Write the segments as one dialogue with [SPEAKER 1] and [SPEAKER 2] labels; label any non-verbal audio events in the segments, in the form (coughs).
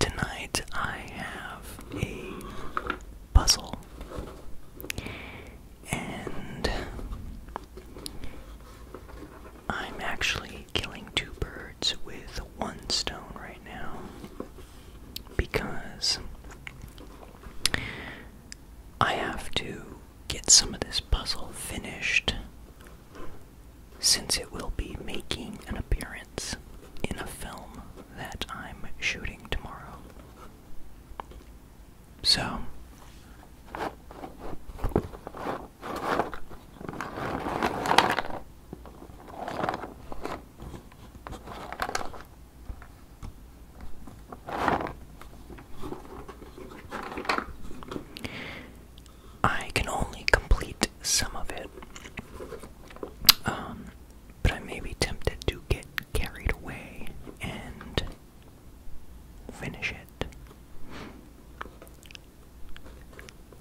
[SPEAKER 1] Tonight I have a puzzle, and I'm actually killing two birds with one stone right now because I have to get some of this puzzle finished since it will be making an appearance in a film that I'm shooting tomorrow. So, I can only complete some of it. Um, but I may be tempted to get carried away and finish it.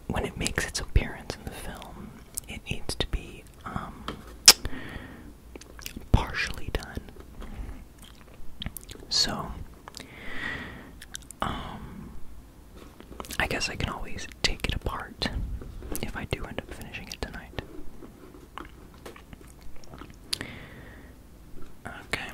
[SPEAKER 1] When it makes its appearance in the film, it needs to be um, partially done. So, um, I guess I can always take it apart if I do end up finishing it tonight. Okay.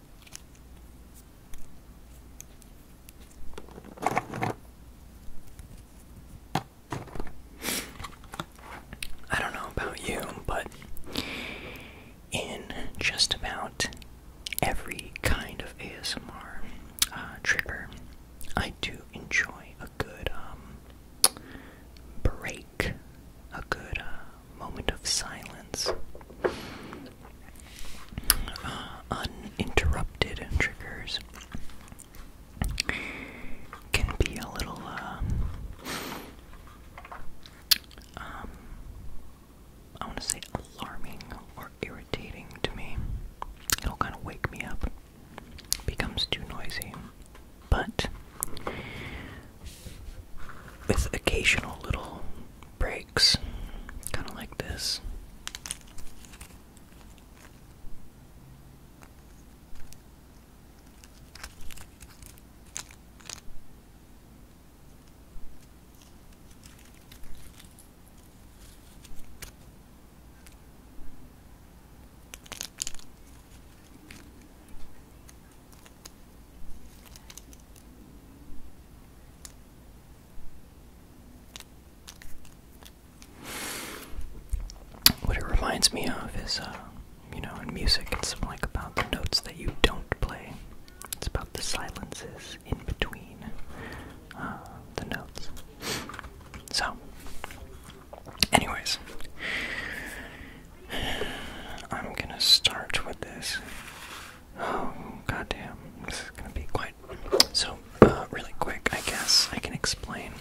[SPEAKER 1] I don't know about you, but in just about every kind of ASMR uh, trigger, I do enjoy a good um, break, a good uh, moment of silence. Uh, uninterrupted triggers can be a little, uh, um, I want to say alarming or irritating to me. It'll kind of wake me up. Becomes too noisy. But with occasional little breaks, kind of like this. What it reminds me of is, uh, you know, in music, it's like about the notes that you don't play. It's about the silences in between uh, the notes. So, anyways, (sighs) I'm gonna start with this Oh, goddamn. This is gonna be quite. So, uh, really quick, I guess I can explain.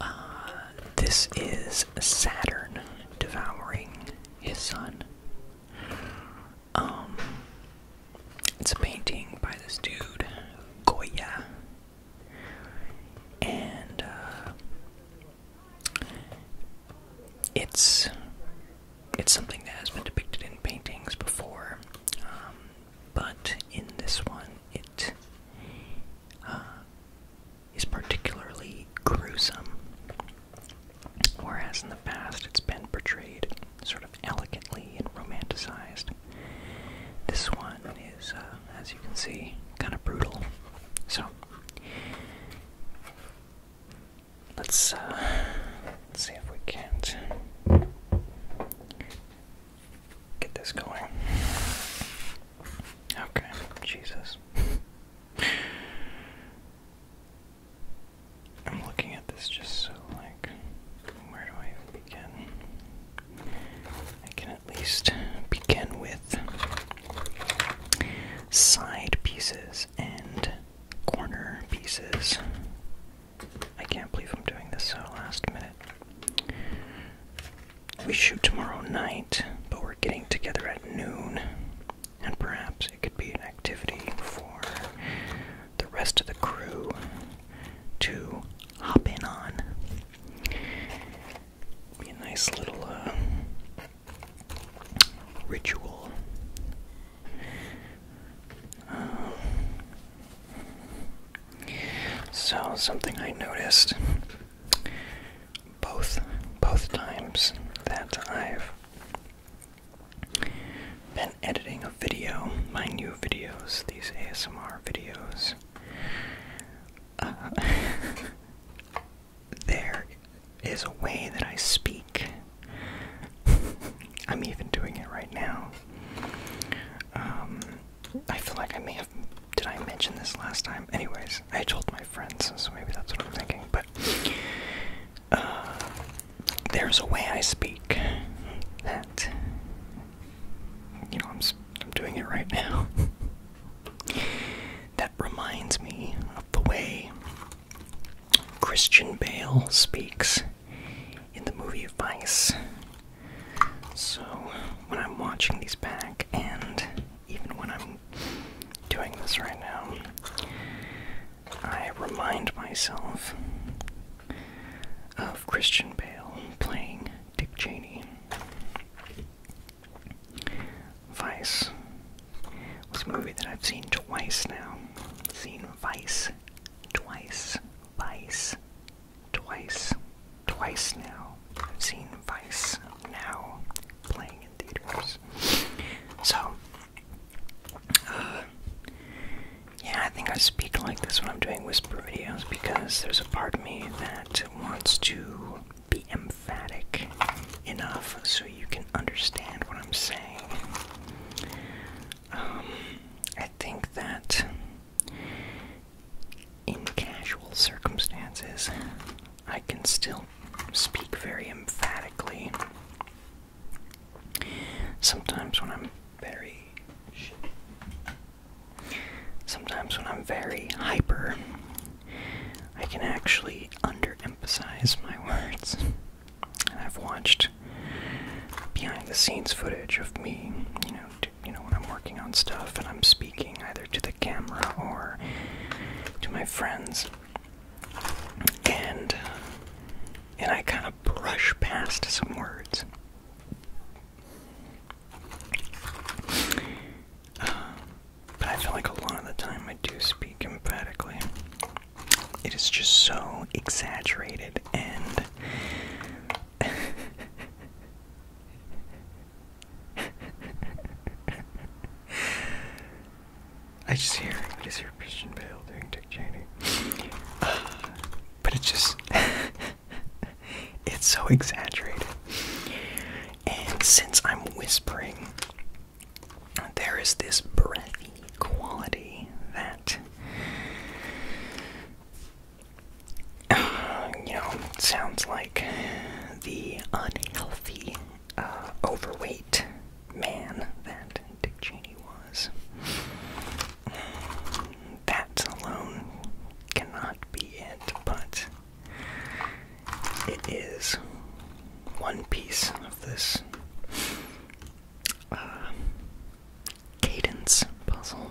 [SPEAKER 1] Uh, this is Saturn devouring his son. Um, it's a painting by this dude, Goya. And, uh, it's it's something that has been depicted in paintings before, um, but in this one, it uh, is particularly gruesome. Whereas in the past, it's been portrayed sort of elegantly and romanticized. This one is, uh, as you can see, kind of brutal. So, uh, let's, see if we can't get this going. Okay, Jesus. I'm looking at this just so, like, where do I begin? I can at least begin with side pieces and corner pieces. I can't believe I'm doing this so last minute. We shoot tomorrow night, but we're getting together at noon, and perhaps it could be an activity for the rest of the crew to hop in on. Be a nice little uh, ritual. Um, so something I noticed both both times that I've been editing a video, my new videos, these ASMR videos. Uh, (laughs) there is a way that I speak. (laughs) I'm even doing it right now. Um, I feel like I may have. Did I mention this last time? Anyways, I told my friends, so maybe that's what I'm thinking. But uh, there's a way I speak that you know I'm I'm doing it right now. (laughs) reminds me of the way Christian Bale speaks in the movie Vice. So, when I'm watching these back, and even when I'm doing this right now, I remind myself of Christian Bale playing Dick Cheney. Vice was a movie that I've seen twice now. Seen Vice twice, Vice twice, twice now. I've seen Vice now playing in theaters. So, uh, yeah, I think I speak like this when I'm doing whisper videos because there's a part of me that wants to be emphatic enough so you can understand what I'm saying. Um, I think that in casual circumstances, I can still speak very emphatically. Sometimes when I'm very. Sometimes when I'm very hyper, I can actually underemphasize my words. And I've watched behind the scenes footage of me, you know, you know when I'm working on stuff and I'm speaking either to the camera or to my friends. And uh, and I kind of brush past some words. Uh, but I feel like a lot of the time I do speak emphatically. It is just so exaggerated and. (laughs) I just hear, I just hear Christian Bale doing Dick Cheney. (sighs) but it's just, (laughs) it's so exaggerated. And since I'm whispering, there is this breathy quality that you know sounds like the unhealthy, uh, overweight man that Dick Cheney was. That alone cannot be it, but it is one piece of this uh, cadence puzzle.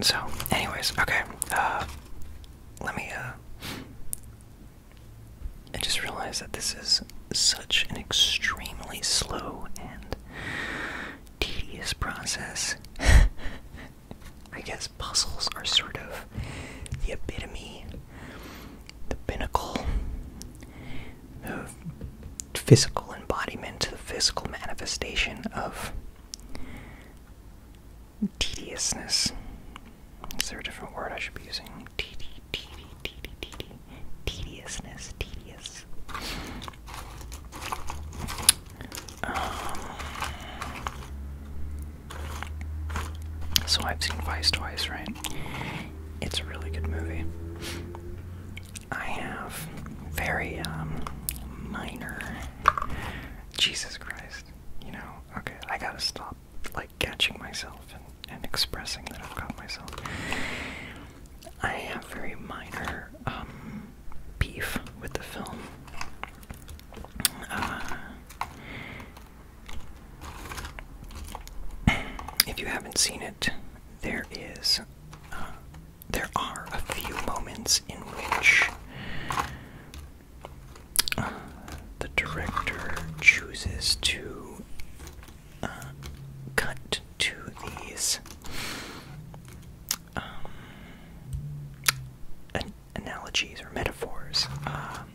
[SPEAKER 1] so, anyways, okay. Uh, let me. Uh, I just realized that this is such an extremely slow and tedious process. (laughs) I guess puzzles are sort of the epitome, the pinnacle of physical embodiment, the physical manifestation of tediousness. Is there a different word I should be using? Tedi, tedi, tedi, tedi, tediousness, tedious. Um, so I've seen Vice twice, right? It's a really good movie. I have very um, minor. Jesus Christ. You know, okay, I gotta stop like catching myself and, expressing that I've caught myself. I have very minor um, beef with the film. Uh, if you haven't seen it, there is, uh, there are a few moments in which uh, the director chooses to cut to these um, analogies or metaphors, um,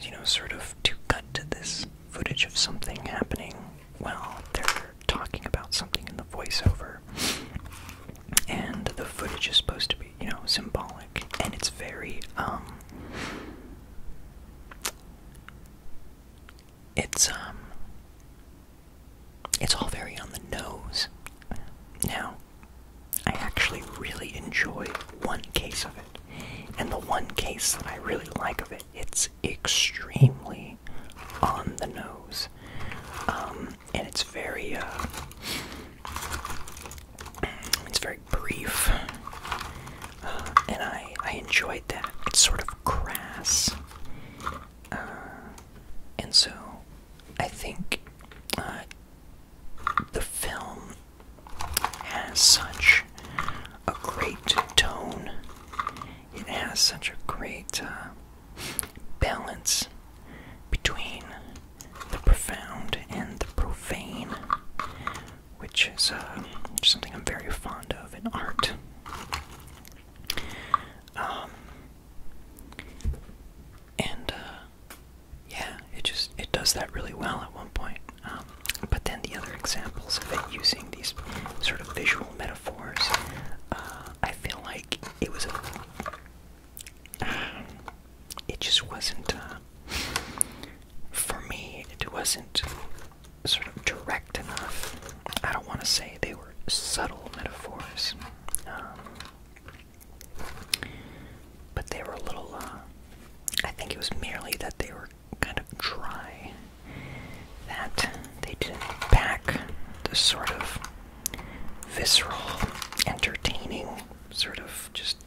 [SPEAKER 1] you know, sort of to cut to this footage of something happening while they're talking about something in the voiceover. And the footage is supposed to be, you know, symbolic, and it's very, um, it's, um, it's all very on the nose. Now, I actually really enjoy one case of it. And the one case that I really like of it, it's extremely on the nose. Um, and it's very, uh, it's very brief. Uh, and I, I enjoyed that. It's sort of crass. Uh, and so I think uh, the film has such a great tone, it has such a great uh, balance between the profound and the profane, which is something I'm very fond of in art. Um, and uh, yeah, it just it does that really well at one point. Um, but then the other examples of it using these sort of visual metaphors, uh, I feel like it was a, it just wasn't uh, for me. It wasn't sort of direct enough. I don't want to say they were subtle metaphors, um, but they were a little. Uh, I think it was merely that they were kind of dry, that they didn't back the sort of visceral, entertaining, sort of just,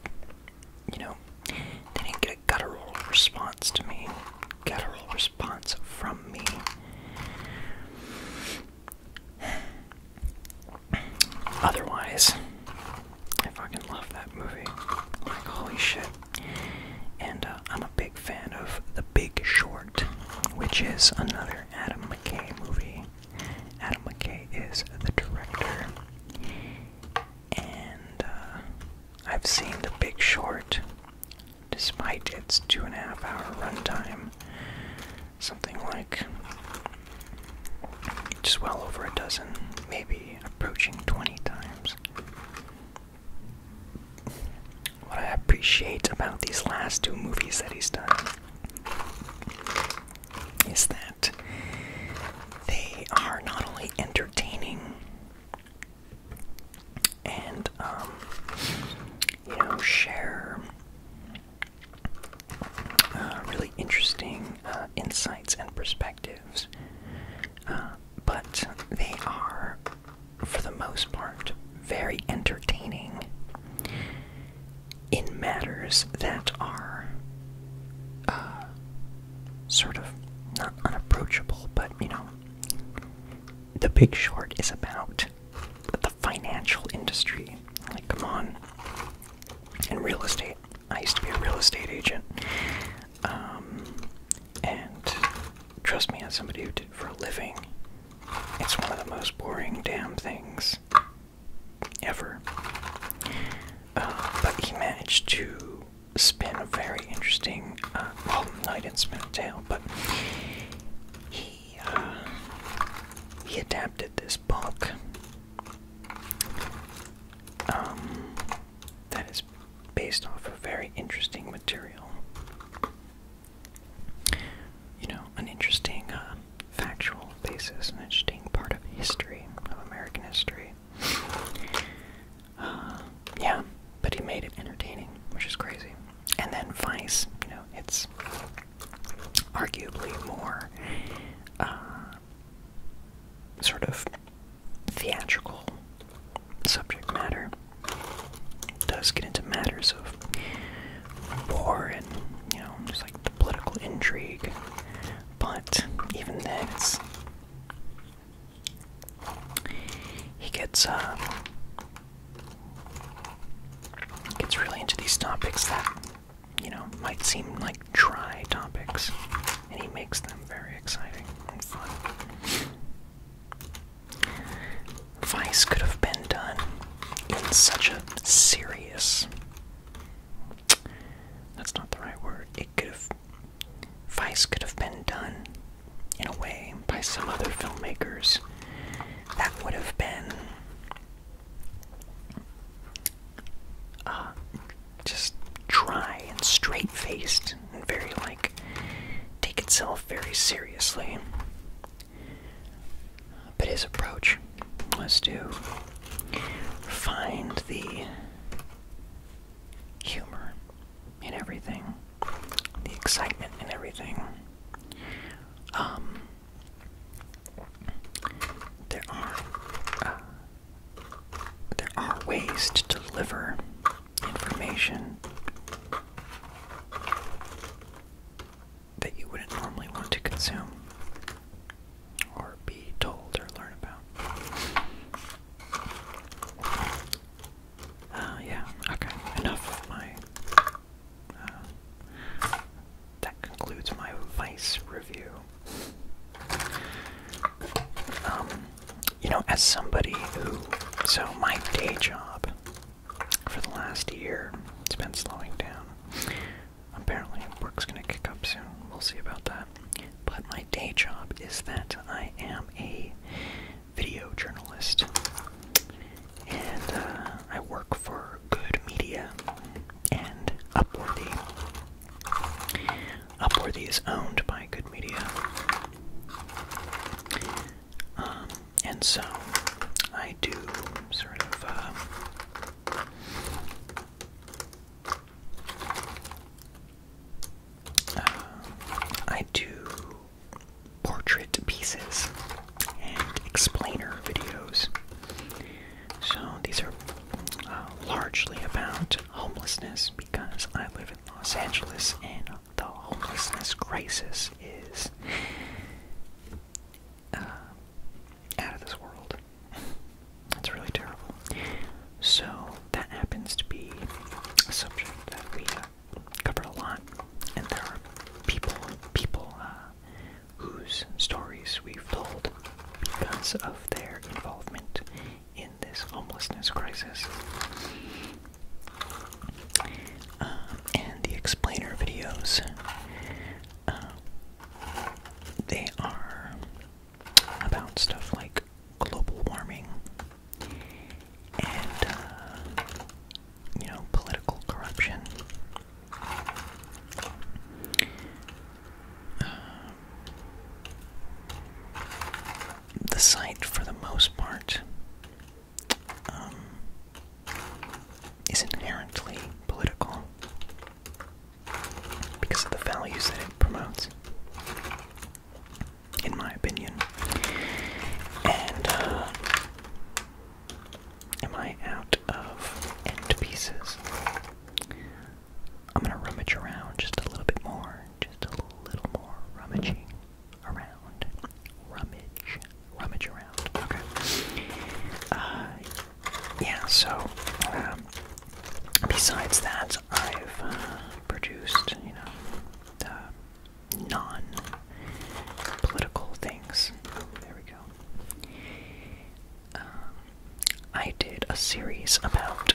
[SPEAKER 1] you know, they didn't get a guttural response to me. Guttural response response from me. Otherwise, I fucking love that movie. Like, holy shit. And uh, I'm a big fan of The Big Short, which is another Adam McKay movie. Adam McKay is the director. And uh, I've seen The Big Short despite its two and a half hour runtime. Something like just well over a dozen, maybe approaching 20 times. What I appreciate about these last two movies that he's done is that they are not only entertaining and um, you know share uh, really interesting uh, insights and perspectives. Uh, but they are, for the most part, very entertaining in matters that are sort of not unapproachable, but you know, the Big Short is about the financial industry. Like, come on. And real estate. I used to be a real estate agent. Um, and trust me, as somebody who did it for a living, it's one of the most boring damn things ever. Uh, but he managed to spin a very interesting. Uh, night well, Smith but he uh, he adapted this book um, that is based off of very interesting material. You know, an interesting uh, factual basis, an interesting part of history of American history. Uh, yeah, but he made it entertaining, which is crazy. And then Vice, you know, it's arguably more uh, sort of theatrical subject matter. does get into matters of war and, you know, just like the political intrigue. But even then, it's. He gets, uh, Gets really into these topics that, you know, might seem like dry topics, and he makes them very exciting and fun. Vice could have been done in such a serious. That's not the right word. It could have. Vice could have been done in a way by some other filmmakers that would have been uh, just dry and straight faced and very like take itself very seriously. But his approach was to find the humor in everything, the excitement in everything. Um, there are uh, there are ways to deliver information that you wouldn't normally want to consume or be told or learn about. Uh, yeah, okay, enough of my. Uh, that concludes my Vice review. Um, you know, as somebody who. So, my day job for the last year, it's been slowing down. Apparently, work's gonna kick up soon. We'll see about that. But my day job is that I am a video journalist, and uh, I work for Good Media and Upworthy. Upworthy is owned by Good Media, um, and so I do sort of. Uh, uh, I do portrait pieces and explainer videos. So these are uh, largely about homelessness because I live in Los Angeles and the homelessness crisis is uh, out of this world. It's really terrible. So that happens to be a subject that we have covered a lot, and there are people, people uh, whose stories we've told because of their involvement in this homelessness crisis. Uh, and the explainer videos, uh, they are about stuff like global warming and uh, you know political corruption. Uh, the site, for the most part, um, is inherently political because of the values that it promotes in my opinion. And uh, am I out of pieces? I'm gonna rummage around just a little bit more, just a little more rummaging around, rummage, rummage around. Okay. Uh, yeah. So, um, besides that, I've uh, produced, you know, non political things. There we go. Um, I did a series about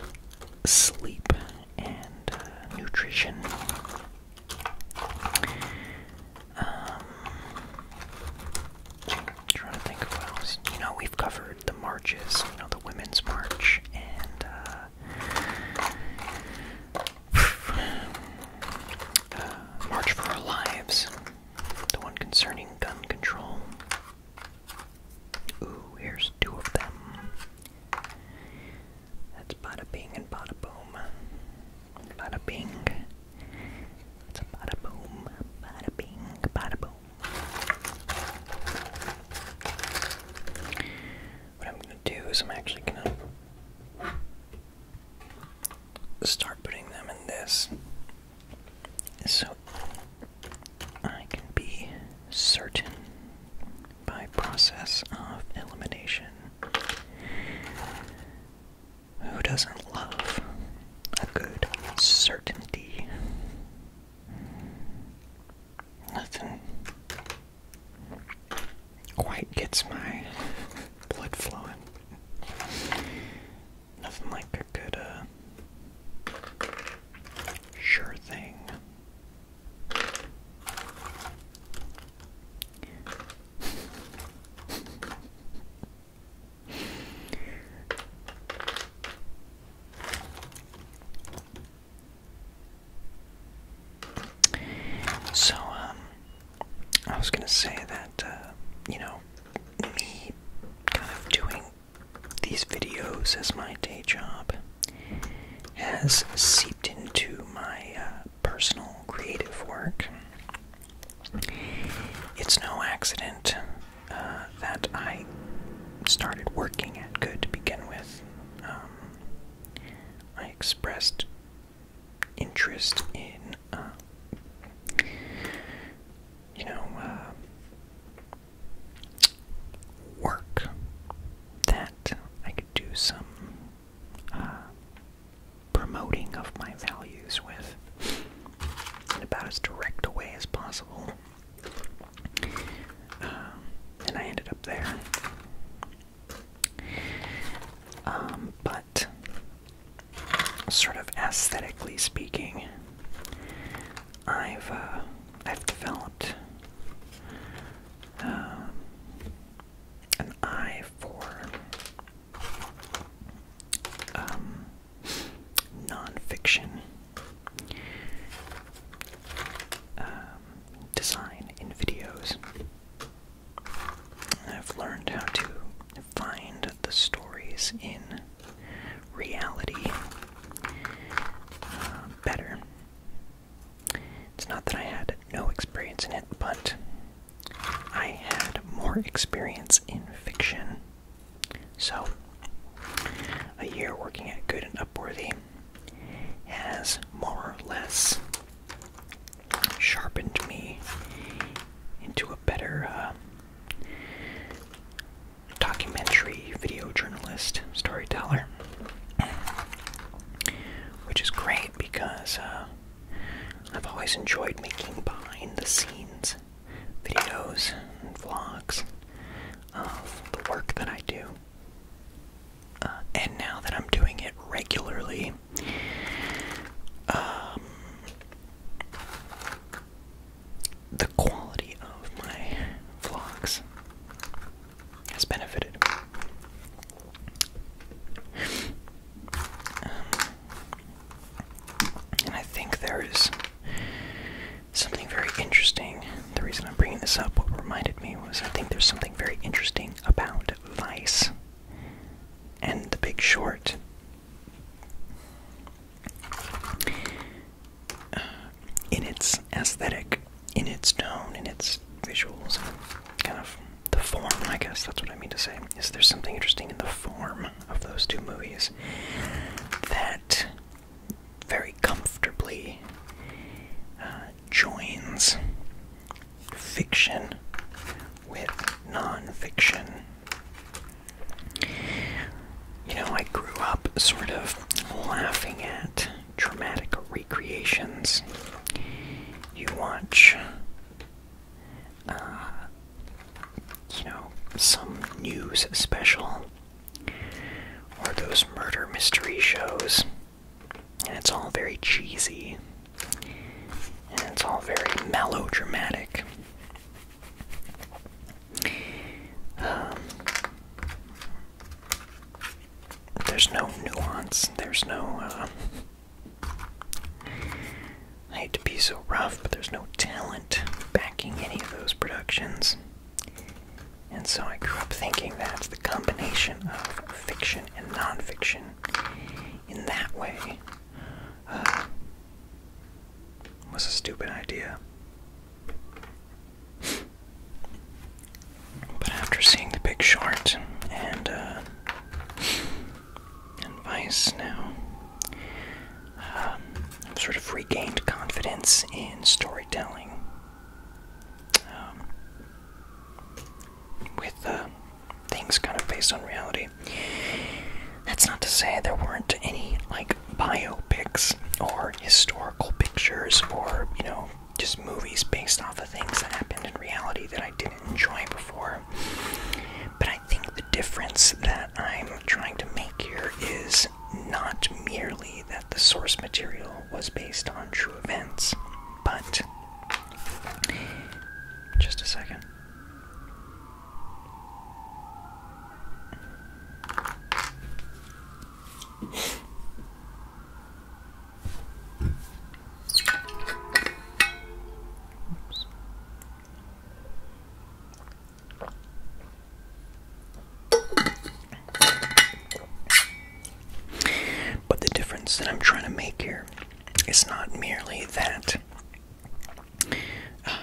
[SPEAKER 1] sleep and uh, nutrition. Um, trying to think of else. You know, we've covered the marches, you know, the Women's March and uh, (sighs) March for Our Lives, the one concerning gun control. Ooh, here's two of them. That's bada bing and bada boom. Bada bing. It's bada boom. Bada bing, bada boom what I'm gonna do is I'm actually gonna start putting them in this so I can be certain by process of elimination. Who doesn't love a good certainty? Nothing quite gets my blood flowing. Nothing like a good, uh, sure thing. So, um, I was gonna say that, uh, you know, me kind of doing these videos as my day job has seeped into my uh, personal creative work. It's no accident uh, that I started working at Good to begin with. Um, I expressed interest in, uh, you know, uh, work that I could do some uh, promoting of my values with in about as direct a way as possible. Um, and I ended up there. Um, but sort of aesthetically speaking, I've uh, I've developed um, an eye for um, nonfiction. Uh, design in videos. I've learned how to find the stories in reality uh, better. It's not that I had no experience in it, but I had more experience in fiction. So, a year working at Good and Upworthy, has more or less sharpened me into a better uh, documentary video journalist storyteller. Which is great because uh, I've always enjoyed making behind the scenes videos and vlogs of the work that I do. Uh, and now that I'm doing it regularly, um, the quality of my vlogs has benefited. Um, and I think there is something very interesting. The reason I'm bringing this up, what reminded me was I think there's something very interesting about Vice and the Big Short. Uh, in its aesthetic, in its tone, in its visuals, kind of the form, I guess that's what I mean to say. Is there something interesting in the form of those two movies that very comfortably uh, joins fiction with nonfiction. You know, I grew up sort of laughing at dramatic recreations. You watch, uh, you know, some news special or those murder mystery shows. And it's all very cheesy. And it's all very melodramatic. Um, there's no nuance. There's no. Uh, I hate to be so rough, but there's no talent backing any of those productions. And so I grew up thinking that the combination of fiction and nonfiction, in that way, uh, was a stupid idea. But after seeing The Big Short and uh, and Vice now, um, I've sort of regained confidence in storytelling. Um, with uh, things kind of based on reality. That's not to say there weren't any like bio pics or historical pictures or, you know, just movies based off of things that happened in reality that I didn't enjoy before. But I think the difference that I'm trying to make here is not merely that the source material was based on true events, but just a second. But the difference that I'm trying to make here is not merely that uh,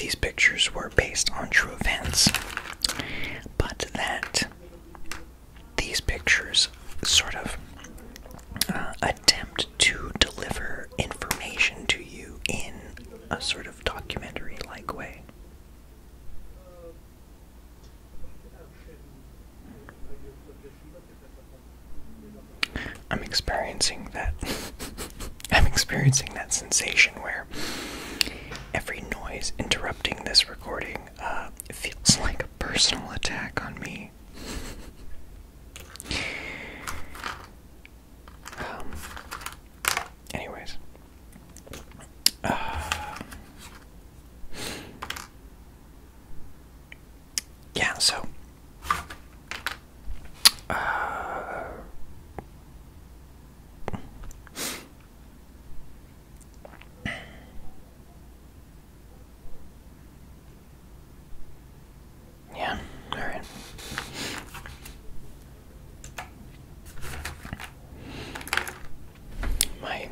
[SPEAKER 1] these pictures were based on true events, but that these pictures sort of uh, attempt to deliver information to you in a sort of documentary like way. I'm experiencing that. (laughs) I'm experiencing that sensation where every noise interrupting this recording uh, feels like a personal attack on me. Um, anyways, (sighs) yeah, so (sighs) yeah, all right my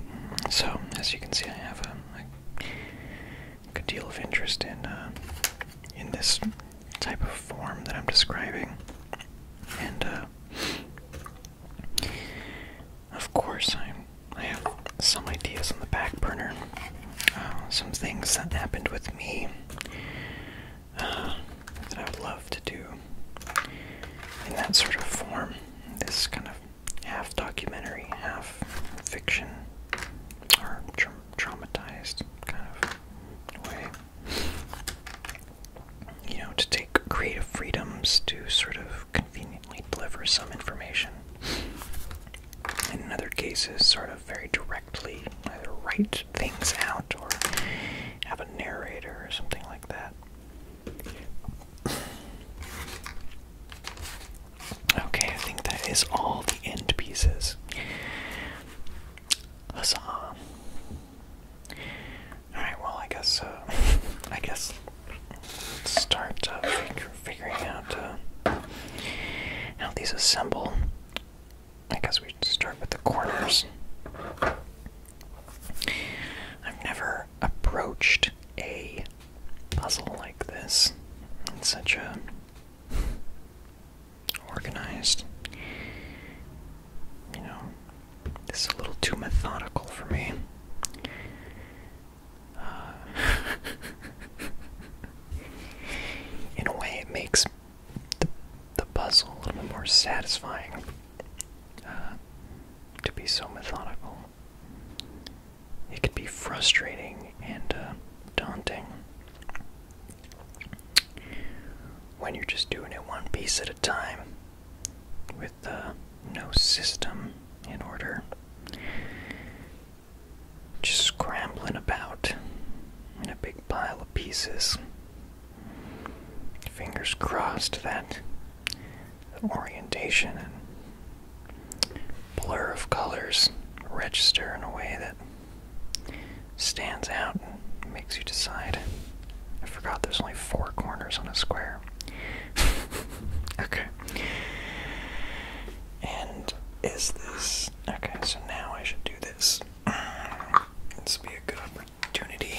[SPEAKER 1] so as you can see, I have a, good deal of interest in uh, in this type of form that I'm describing, and uh, of course, I have some ideas on the back burner, uh, some things that happened with me that I would love to do in that sort of form this kind of half documentary, half fiction, or traumatized kind of way. You know, to take creative freedoms to sort of conveniently deliver some information. in other cases, sort of very directly either write things out or have a narrator or something like that. Okay, I think that is all the end pieces. Huzzah. Alright, well, I guess, uh, (laughs) I guess start uh, figuring out uh, how these assemble. I guess we start with the corners. I've never approached a puzzle like this in such a organized. You know, this is a little too methodical for me. Uh, (laughs) in a way, it makes the, the puzzle a little bit more satisfying. Uh, to be so methodical. It can be frustrating and uh, daunting when you're just doing it one piece at a time with uh, no system in order. Just scrambling about in a big pile of pieces. Fingers crossed that orientation and blur of colors register in a way that stands out and makes you decide. I forgot there's only four corners on a square. (laughs) okay. And is this. Okay, so now I should do this. (clears throat) This would be a good opportunity.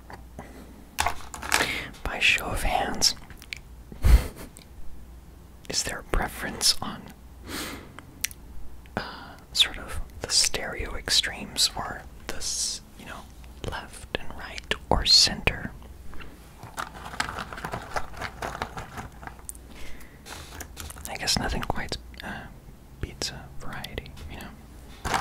[SPEAKER 1] By show of hands, is there a preference on uh, sort of the stereo extremes or this, you know, left and right or center? I guess nothing quite uh, beats variety, you know.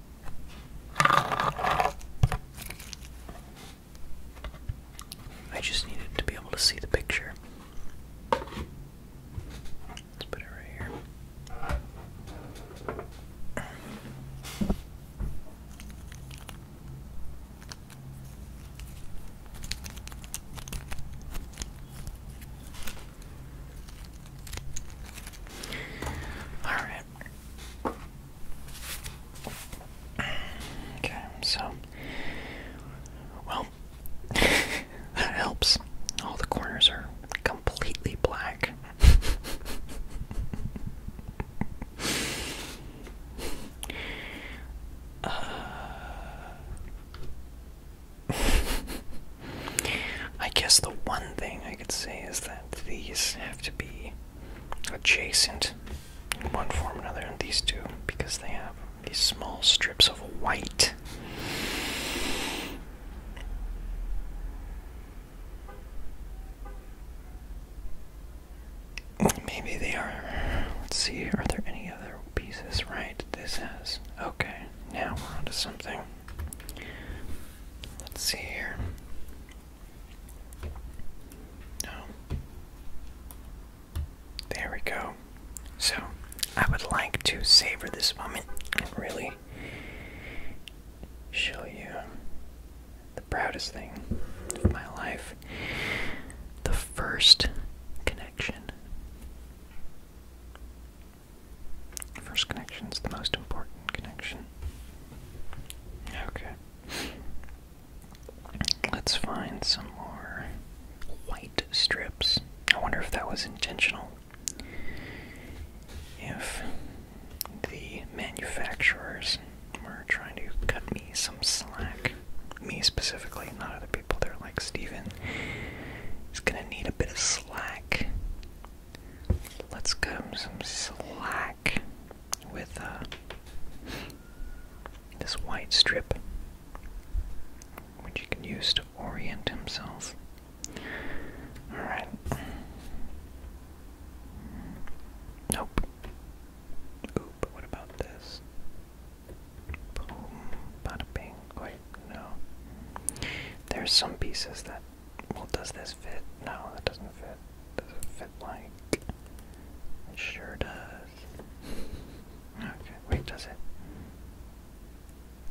[SPEAKER 1] I just needed to be able to see the picture. Let's put it right here. All right. Okay, so well (laughs) that helps. All the corners are completely black. (laughs) Uh, (laughs) I guess the one thing I could say is that these have to be adjacent in one form or another, and these two because they have these small strips of white. Maybe they are. Let's see, are there any other pieces? Right, this has. Okay, now we're onto something. Let's see here. No. There we go. So, I would like to savor this moment really show you the proudest thing of my life. The first connection. First connection is the most important connection. Okay. Let's find some more white strips. I wonder if that was intentional. If the manufacturers were trying to cut me some slack, me specifically, not other people, they're like, Steven He's gonna need a bit of slack Let's cut him some slack with uh, this white strip, which he can use to orient himself. Alright. Nope. Ooh, but what about this? Boom, bada bing. Wait, no. There's some pieces that well, does this fit? No, that doesn't fit. Does it fit like. It sure does. Okay, wait, does it?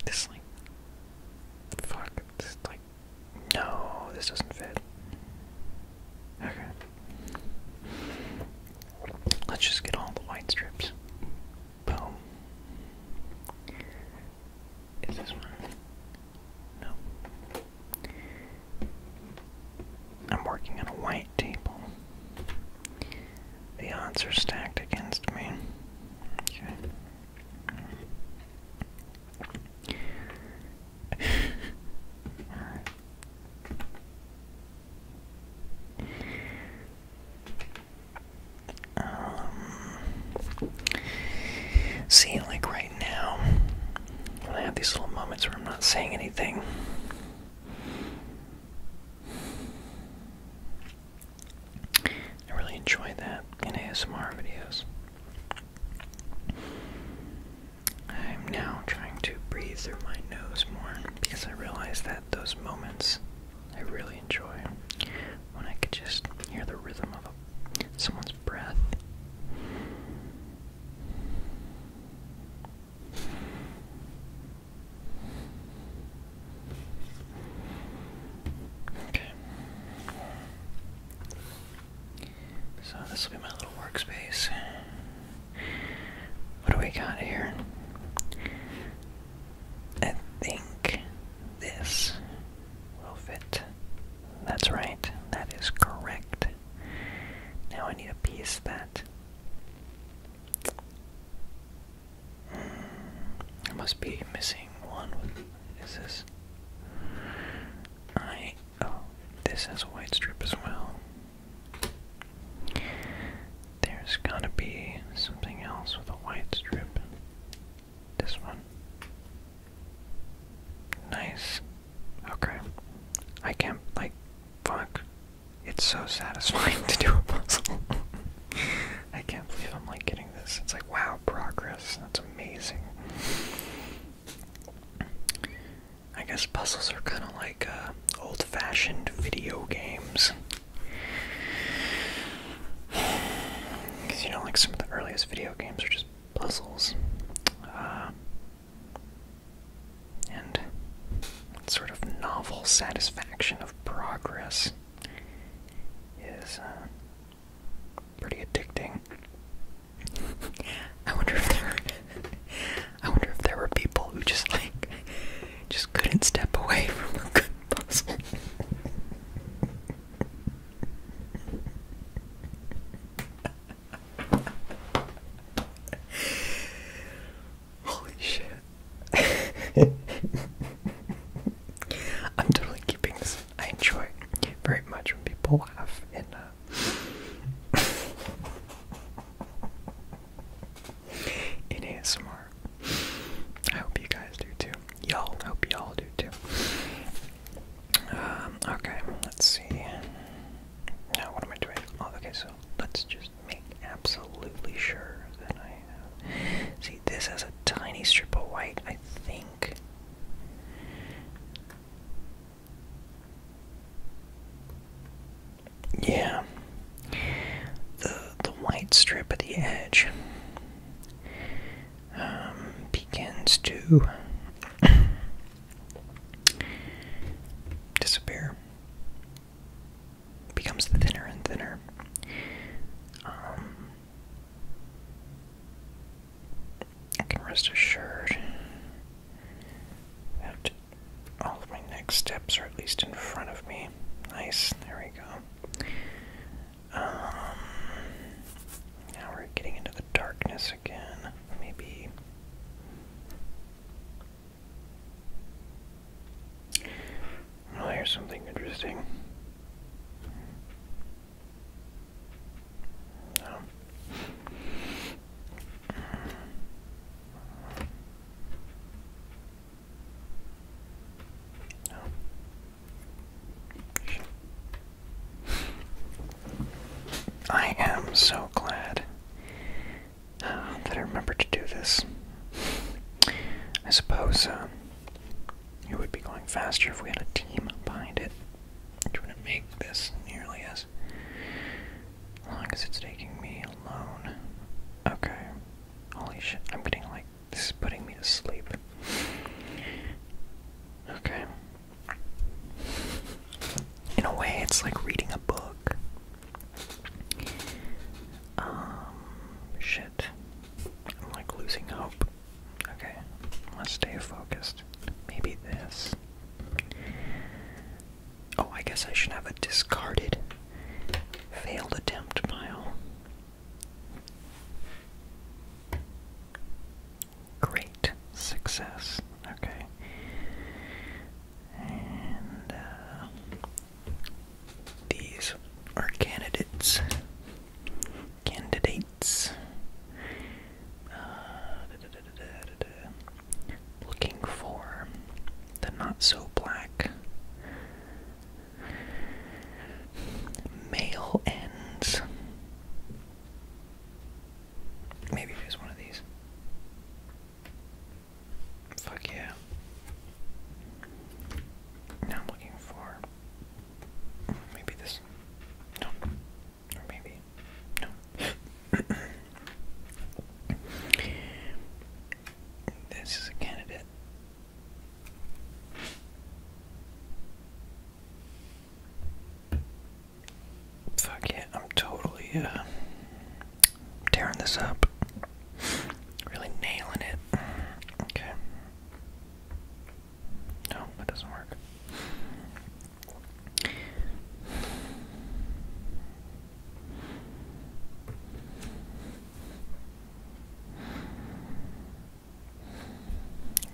[SPEAKER 1] This, like. Fuck, this, like. No, this doesn't fit. Okay. Let's just get all the white strips. Boom. Is this one? No. I'm working on a white table. The odds are stacked against me. (laughs) Um see, like right now, when I have these little moments where I'm not saying anything, I really enjoy that in ASMR videos. I'm now trying to breathe through my nose more because I realize that those moments I really enjoy when I could just hear the rhythm of a someone's breath. Okay. So this will be my little workspace. What do we got here? I think this will fit that's right, that is correct. Now I need a piece that. Mm, I must be missing one. What is this? I. Oh, this has a white strip as well. There's gotta be something else with a white strip. This one. Nice. Okay. I can't, like, fuck. It's so satisfying (laughs) to do a puzzle. (laughs) I can't believe I'm, like, getting this. It's like, wow, progress. That's amazing. I guess puzzles are kind of like uh, old fashioned video games. Because (sighs) you know, like some of the earliest video games are just puzzles. Uh, and sort of novel satisfaction of progress is uh, pretty addicting. (laughs) I wonder if there, (laughs) I wonder if there were people who just like just couldn't step away from a good puzzle. (laughs) Holy shit. (laughs) I'm totally keeping this. I enjoy very much when people laugh and uh (laughs) in ASMR. I hope you guys do too y'all hope y'all do too. Um, okay, let's see. what am I doing? Oh, okay, so let's just make absolutely sure that I See, this has a tiny strip of white, I think. Yeah. The the white strip at the edge begins to disappear, becomes thinner and thinner. Um, I can rest assured that all of my next steps are at least in front of me. Nice, there we go. Um, now we're getting into the darkness again. Maybe. Well, oh, here's something interesting. No. Oh. No. Oh. I am so glad uh, that I remembered to do this. I suppose uh, it would be going faster if we had a team behind it. Which wouldn't make this nearly as long as it's taking me alone. Okay. Holy shit, I'm getting like. This is putting me to sleep. Okay, in a way, it's like reading a book. Um, shit. I'm like losing hope. Okay, let stay focused. Maybe this. Oh, I guess I should have a discarded failed attempt pile great success. Okay. And uh, these are candidates. Candidates. Uh, looking for the not so black male ends Maybe just one of these. Fuck yeah. Now I'm looking for maybe this. No. Or maybe. No. (coughs) this is a candidate. Fuck yeah, I'm totally uh, tearing this up. Really nailing it. Okay. No, that doesn't work.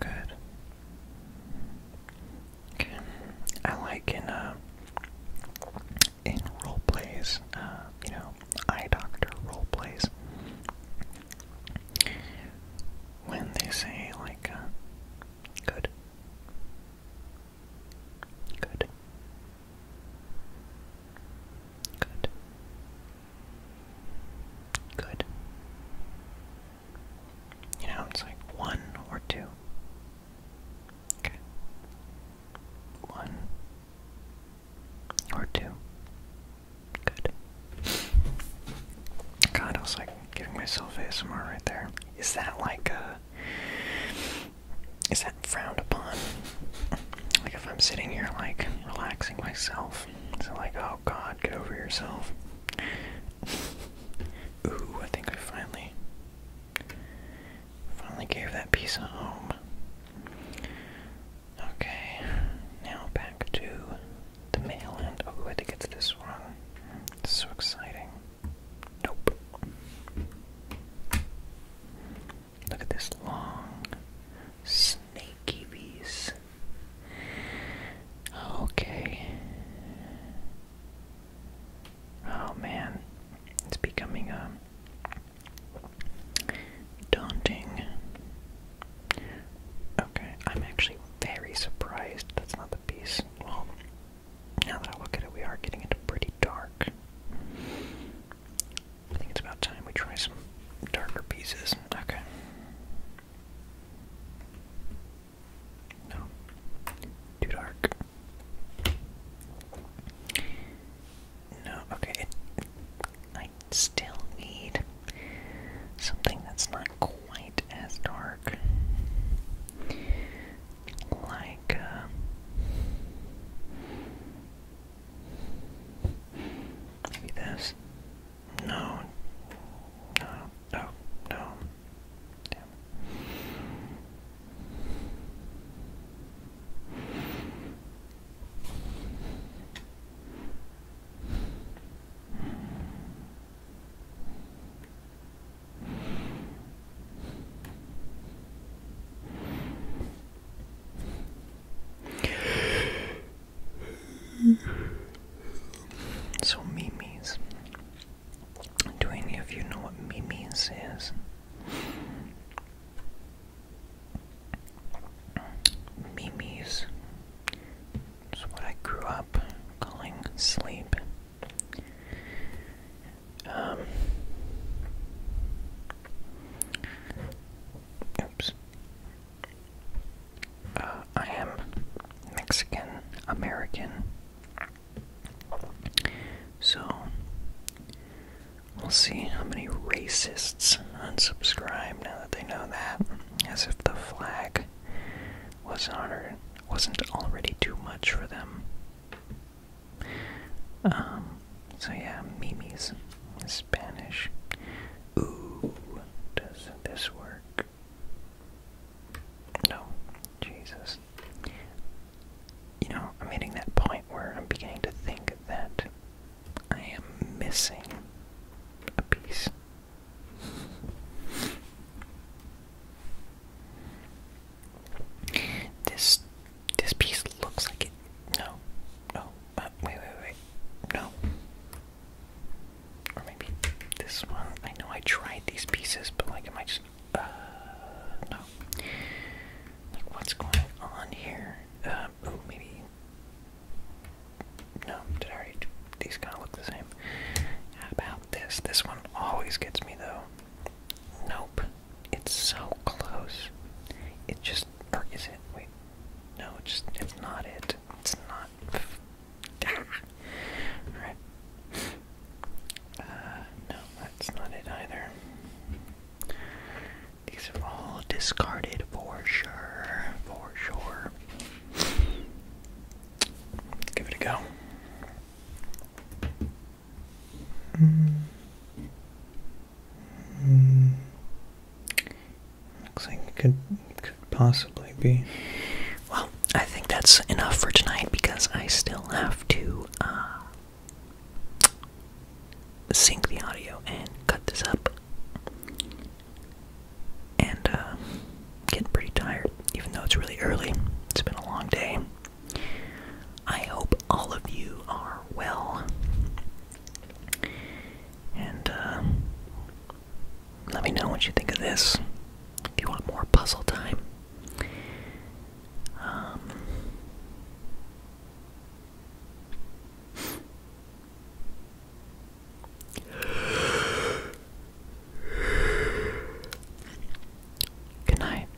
[SPEAKER 1] Good. Okay. I like in uh in role plays, uh, you know, eye doctor role plays. When they say like uh, good. Good. Good. Good. You know, it's like one or two. Okay. One or two. Good. God, I was like giving myself ASMR right there. Is that like a. Is that frowned upon? Like if I'm sitting here like relaxing myself so like, oh God, get over yourself. (laughs) Ooh, I think I finally, finally gave that piece a home. Okay, now back to the mail Oh, I had to get this one. It's so exciting. Nope. Look at this long, snaky bees. Okay. Oh man, it's becoming a uh, daunting. Okay, I'm actually very surprised that's not the piece. Well, now that I look at it, we are getting into pretty dark. I think it's about time we try some darker pieces. Okay. No. Too dark. No, okay. I still need something that's not quite as dark. Like, uh, this. No. No. No. No. Damn. (sighs) So memes. Do any of you know what memes is? Memes is what I grew up calling sleep. Um, oops. Uh, I am Mexican American. So, we'll see how many racists unsubscribe now that they know that. As if the flag was not already too much for them. Um, so yeah, Mimi's Spanish. Ooh, does this work? No. Jesus. You know, I'm hitting that point where I'm beginning to think that I am missing a piece. This this piece looks like it. No, no. Uh, wait, wait, wait. No. Or maybe this one. I know I tried these pieces, but like, it might just. Uh, no. Like, what's going on here? Um, oh, maybe. No, did I already. These kind of look the same. How about this? This one always gets me, though. Nope. It's so close. It just. Or is it? Wait. No, it's just. It's not it. It's not. Alright. Uh, no, that's not it either. These are all discarded for sure. For sure. give it a go. Mm. Mm. Looks like it could could possibly be. Well, I think that's enough for tonight because I still have to uh, sync the audio and cut this up. And uh, getting pretty tired, even though it's really early. It's been a long day. I hope all of you are well. And uh, let me know what you think of this. If you want more puzzle time. Um, good night.